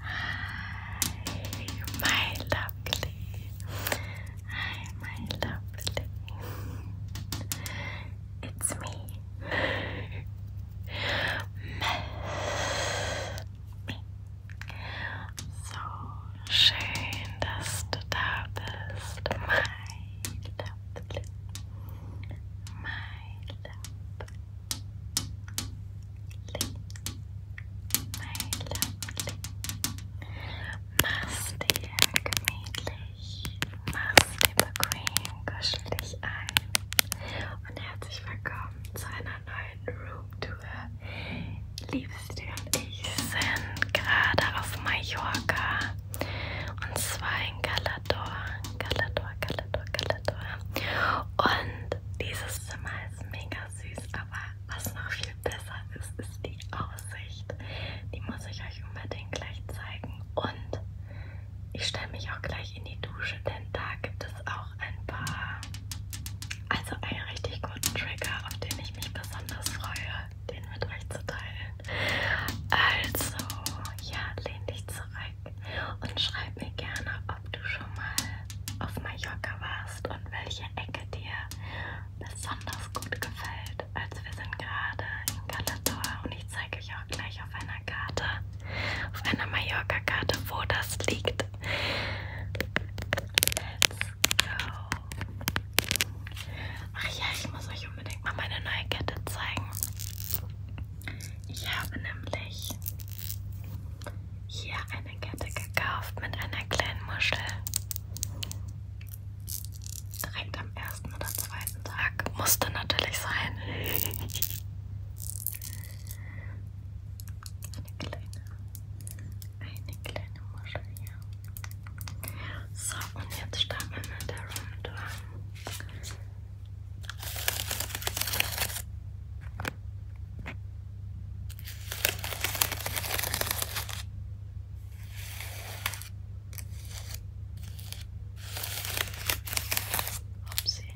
Hi, my lovely. Hi, my lovely. It's me. Miss So schön, dass du da bist, my love, my love, my love. Mach's dir gemütlich, mach's dir bequem, kuschel dich ein und herzlich willkommen zu einer einer neuen Roomtour. Liebste und ich sind gerade auf Mallorca und zwar in Galador, Galador, Galador, Galador. Und dieses Zimmer ist mega süß, aber was noch viel besser ist, ist die Aussicht. Die muss ich euch unbedingt gleich zeigen und ich stelle mich auch gleich in die Dusche, denn da gibt es auch noch ein paar, also einen richtig guten Trigger, auf den ich mich besonders freue, den mit euch zu teilen. Also, ja, lehn dich zurück und schreib mir gerne, ob du schon mal auf Mallorca warst und welche Ecke dir besonders gut gefällt. Also wir sind gerade in Galator und ich zeige euch auch gleich auf einer einer Karte, auf einer Mallorca-Karte, wo das liegt. Let's go. Ach ja, ich muss euch unbedingt mal meine neue Kette zeigen. Ich habe nämlich hier eine Kette gekauft mit einer kleinen Muschel. Direkt am ersten oder zweiten Tag. Musste natürlich sein. Eine kleine, eine kleine Muschel hier. So, und jetzt starten wir mit der Runde. Upsi.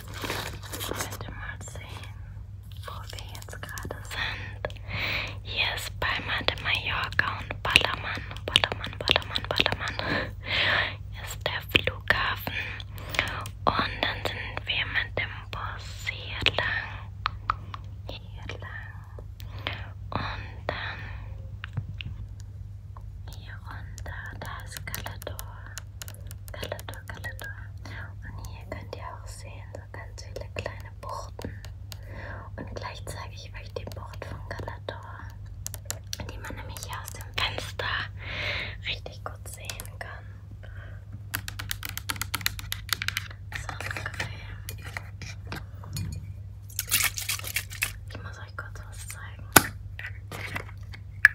Könnt ihr mal sehen, wo wir jetzt gerade sind. Hier ist Palma de Mallorca und Ballermann, Ballermann, Ballermann, Ballermann. Hier ist der Flughafen. Und dann sind wir mit dem Bus hier lang. Hier lang. Und dann hier runter, da ist Galador. Kalendor, Kalendor. Und hier könnt ihr auch sehen, so ganz viele kleine Buchten. Und gleich zeige ich euch die Bucht von Galador, die man nämlich hier aus dem Fenster richtig gut sehen kann. So ungefähr. Ich muss euch kurz was zeigen.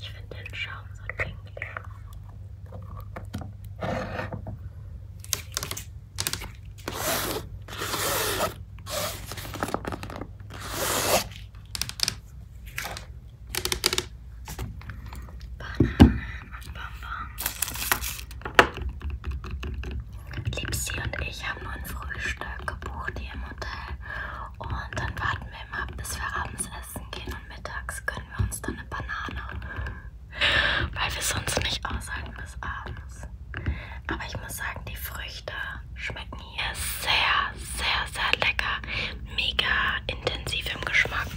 Ich finde den Schaum so pinkig. Bananen und Bonbons. Lipsi und ich haben nur ein Frühstück gebucht hier im Hotel. Und dann warten wir immer, bis wir abends essen gehen und mittags gönnen wir uns dann eine Banane. Weil wir sonst nicht aushalten bis abends. Aber ich muss sagen, die Früchte schmecken hier sehr, sehr, sehr lecker. Mega intensiv im Geschmack.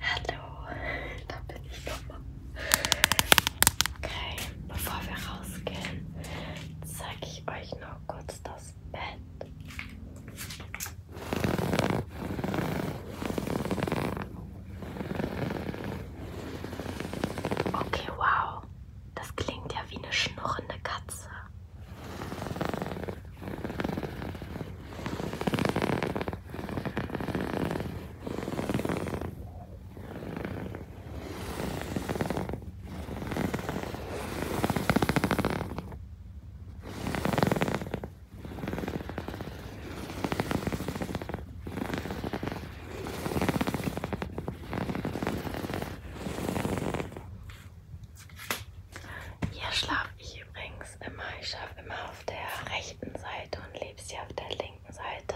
Hallo, da bin ich nochmal. Okay, bevor wir rausgehen, zeige ich euch noch kurz das ins Bett. Okay, wow. Das klingt ja wie eine schnurrende Katze. Hier schlafe ich übrigens immer. Ich schlafe immer auf der rechten Seite und lebe sie auf der linken Seite.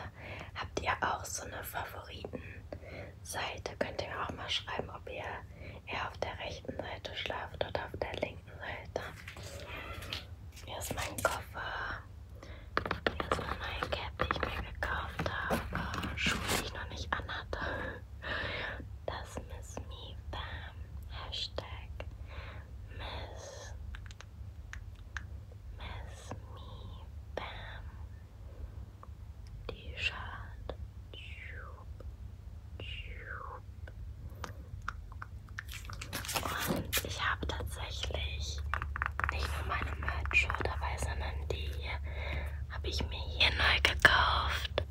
Habt ihr auch so eine Favoritenseite? Könnt ihr mir auch mal schreiben, ob ihr er auf der rechten Seite schlaft oder auf der linken Seite. Hier ist mein Koffer. Hier ist meine neue Cap, die ich mir gekauft habe. Schuhe, die ich noch nicht anhatte. Das Miss Me Bam. Hashtag Miss, Miss Me Bam. T-Shirt. Tube. Und ich habe tatsächlich nicht nur meine Merch-Show dabei, sondern die hier habe ich mir hier neu gekauft,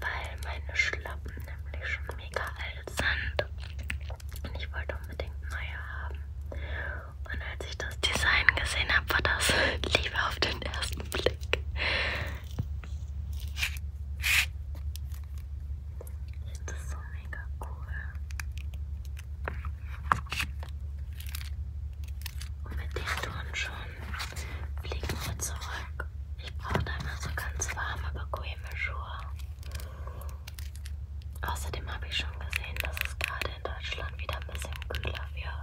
weil meine Schlappen nämlich schon mega alt sind. Und ich wollte unbedingt neue haben. Und als ich das Design gesehen habe, war das Liebe auf den ersten Blick. Ich finde das so mega cool. Und mit dem Ton schon fliegen wir zurück. Ich brauche da immer so ganz warme, bequeme Schuhe. Außerdem habe ich schon gesehen, dass es gerade in Deutschland wieder ein bisschen kühler wird. Ja.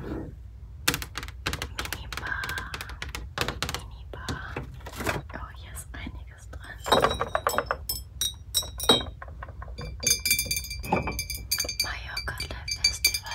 Mini Bar. Mini Bar. Oh, hier ist einiges dran. Mallorca Live Festival,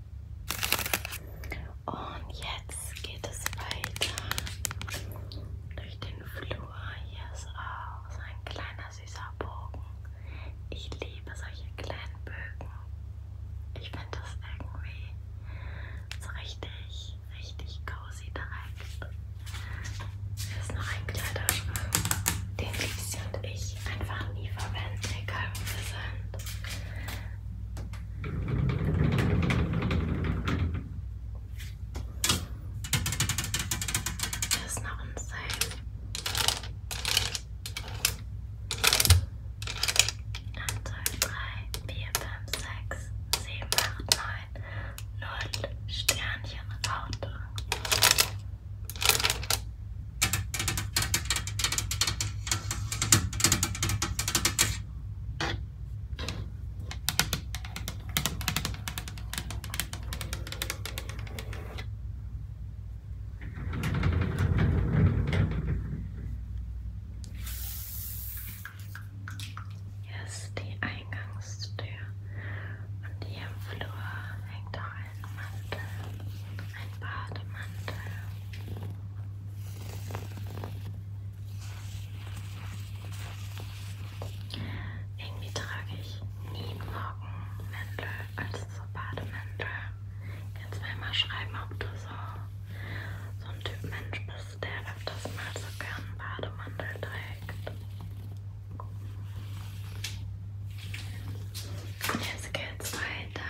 Und jetzt geht es weiter durch den Flur. Hier ist auch so ein kleiner süßer Bogen. Ich liebe solche kleinen Bögen. Ich finde das irgendwie so richtig, richtig cozy direkt. Hier ist noch ein Kleiderschrank, den Lisi und ich einfach nie verwenden, egal wo wir sind. Das ist noch ein Seil. Eins, zwei, drei, vier, fünf, sechs, sieben, acht, neun, null, Sternchen, Raute. Hier ist die Eingangstür und hier im Flur hängt auch ein Mantel, ein Bademantel. Irgendwie trage ich nie Morgenmäntel, also so Bademäntel. Jetzt will mal schreiben, ob du so, so ein Typ Mensch bist, der öfters mal so gern Bademantel trägt. Jetzt geht's weiter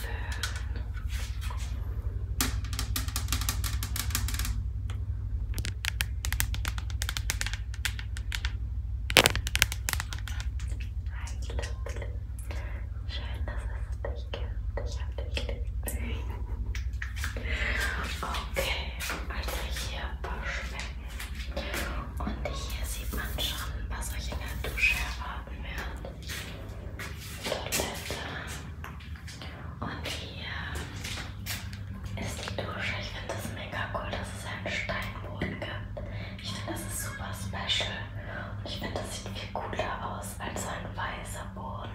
Hi Lüpfle. Schön, dass es dich gibt. Ich hab dich lieb. Okay, also hier ein paar Schwängen. Und hier sieht man schon, was euch in der Dusche erwarten wird. Toilette. Und hier ist die Dusche. Ich finde das mega cool, dass es einen Steinboden gibt. Ich finde, das ist super special. Und ich finde, das sieht viel cooler aus als so ein weißer Boden.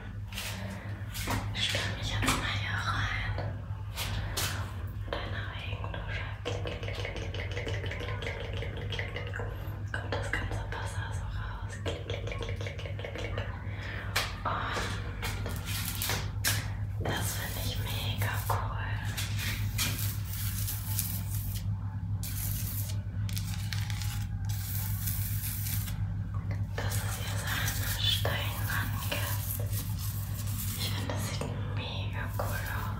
Ich stelle mich jetzt mal hier rein. Und eine Regendusche. Klick, klick, klick, klick, klick, klick, klick, klick, klick, klick, klick, klick. Kommt das ganze Wasser so raus. Und oh, das finde ich mega cool. Dass es hier so eine Steinwand gibt. Ich finde, das sieht mega cool aus.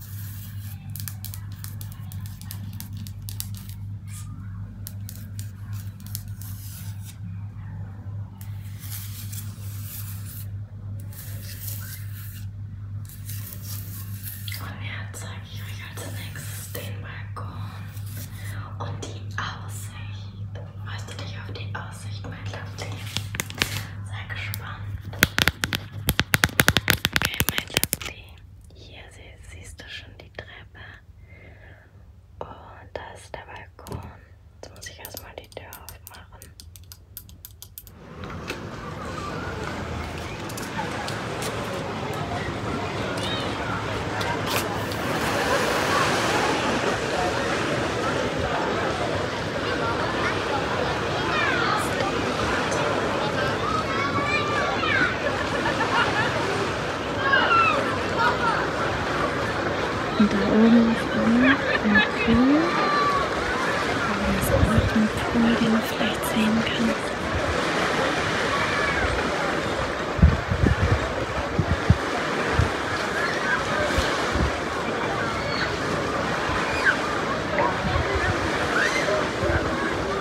Und jetzt zeige ich euch als nächstes den Balkon und die Aussicht. Freust du dich auf die Aussicht, mein Lovely? Sei gespannt. Okay, mein Lovely. Hier sie, siehst du schon die Treppe. Und da ist der Balkon. Jetzt muss ich erstmal die Tür aufmachen. Und da oben ist auch ein Pool, wo man so auch den Pool, den man vielleicht sehen kann.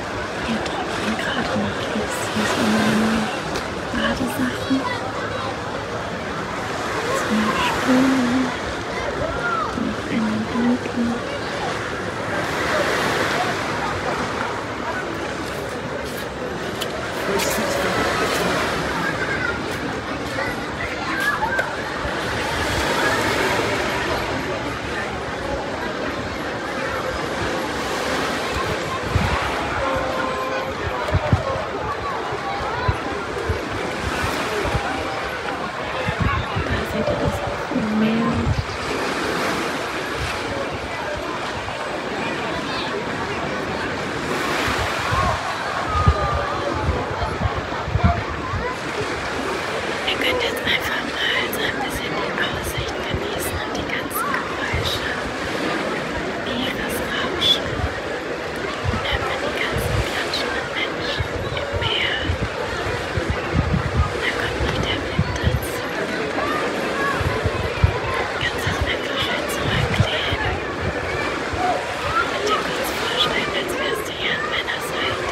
Hier tropfen gerade noch Lützis und meine Badesachen. Zwei Spülen. Noch eine dunkle. Ihr könnt jetzt einfach mal so ein bisschen die Aussicht genießen und die ganzen Geräusche, ihres Rauschen. Hört man die ganzen klatschenden Menschen im Meer. Da kommt noch der Wind dazu. Kann es auch einfach schön zurücklehnen. Und dir kurz vorstellen, als wärst du hier an meiner Seite.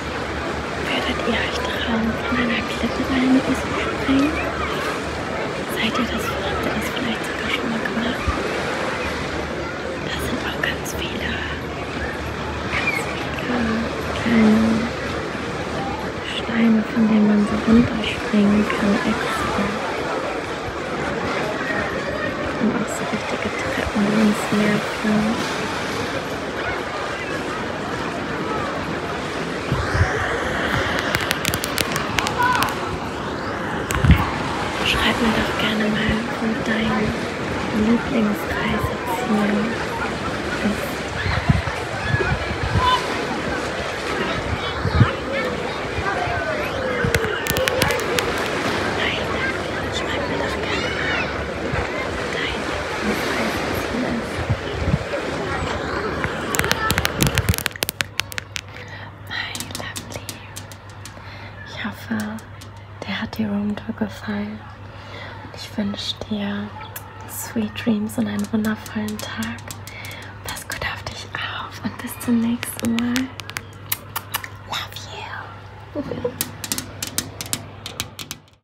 Würdet ihr euch trauen, von einer Klippe rein zu springen? Seid ihr das? Habt ihr das vielleicht sogar schon mal gemacht? Da sind auch ganz viele, ganz viele kleine Steine, von denen man so runterspringen kann extra. Und auch so richtige Treppen, die ins Meer führen. Schreib mir doch gerne mal von deinen Lieblingsreisezielen. Nein, schreib mir doch gerne mal. My lovely. Ich hoffe, der hat dir Roomtour gefallen. Ich wünsche dir Sweet Dreams und einen wundervollen Tag. Pass gut auf dich auf und bis zum nächsten Mal. Love you.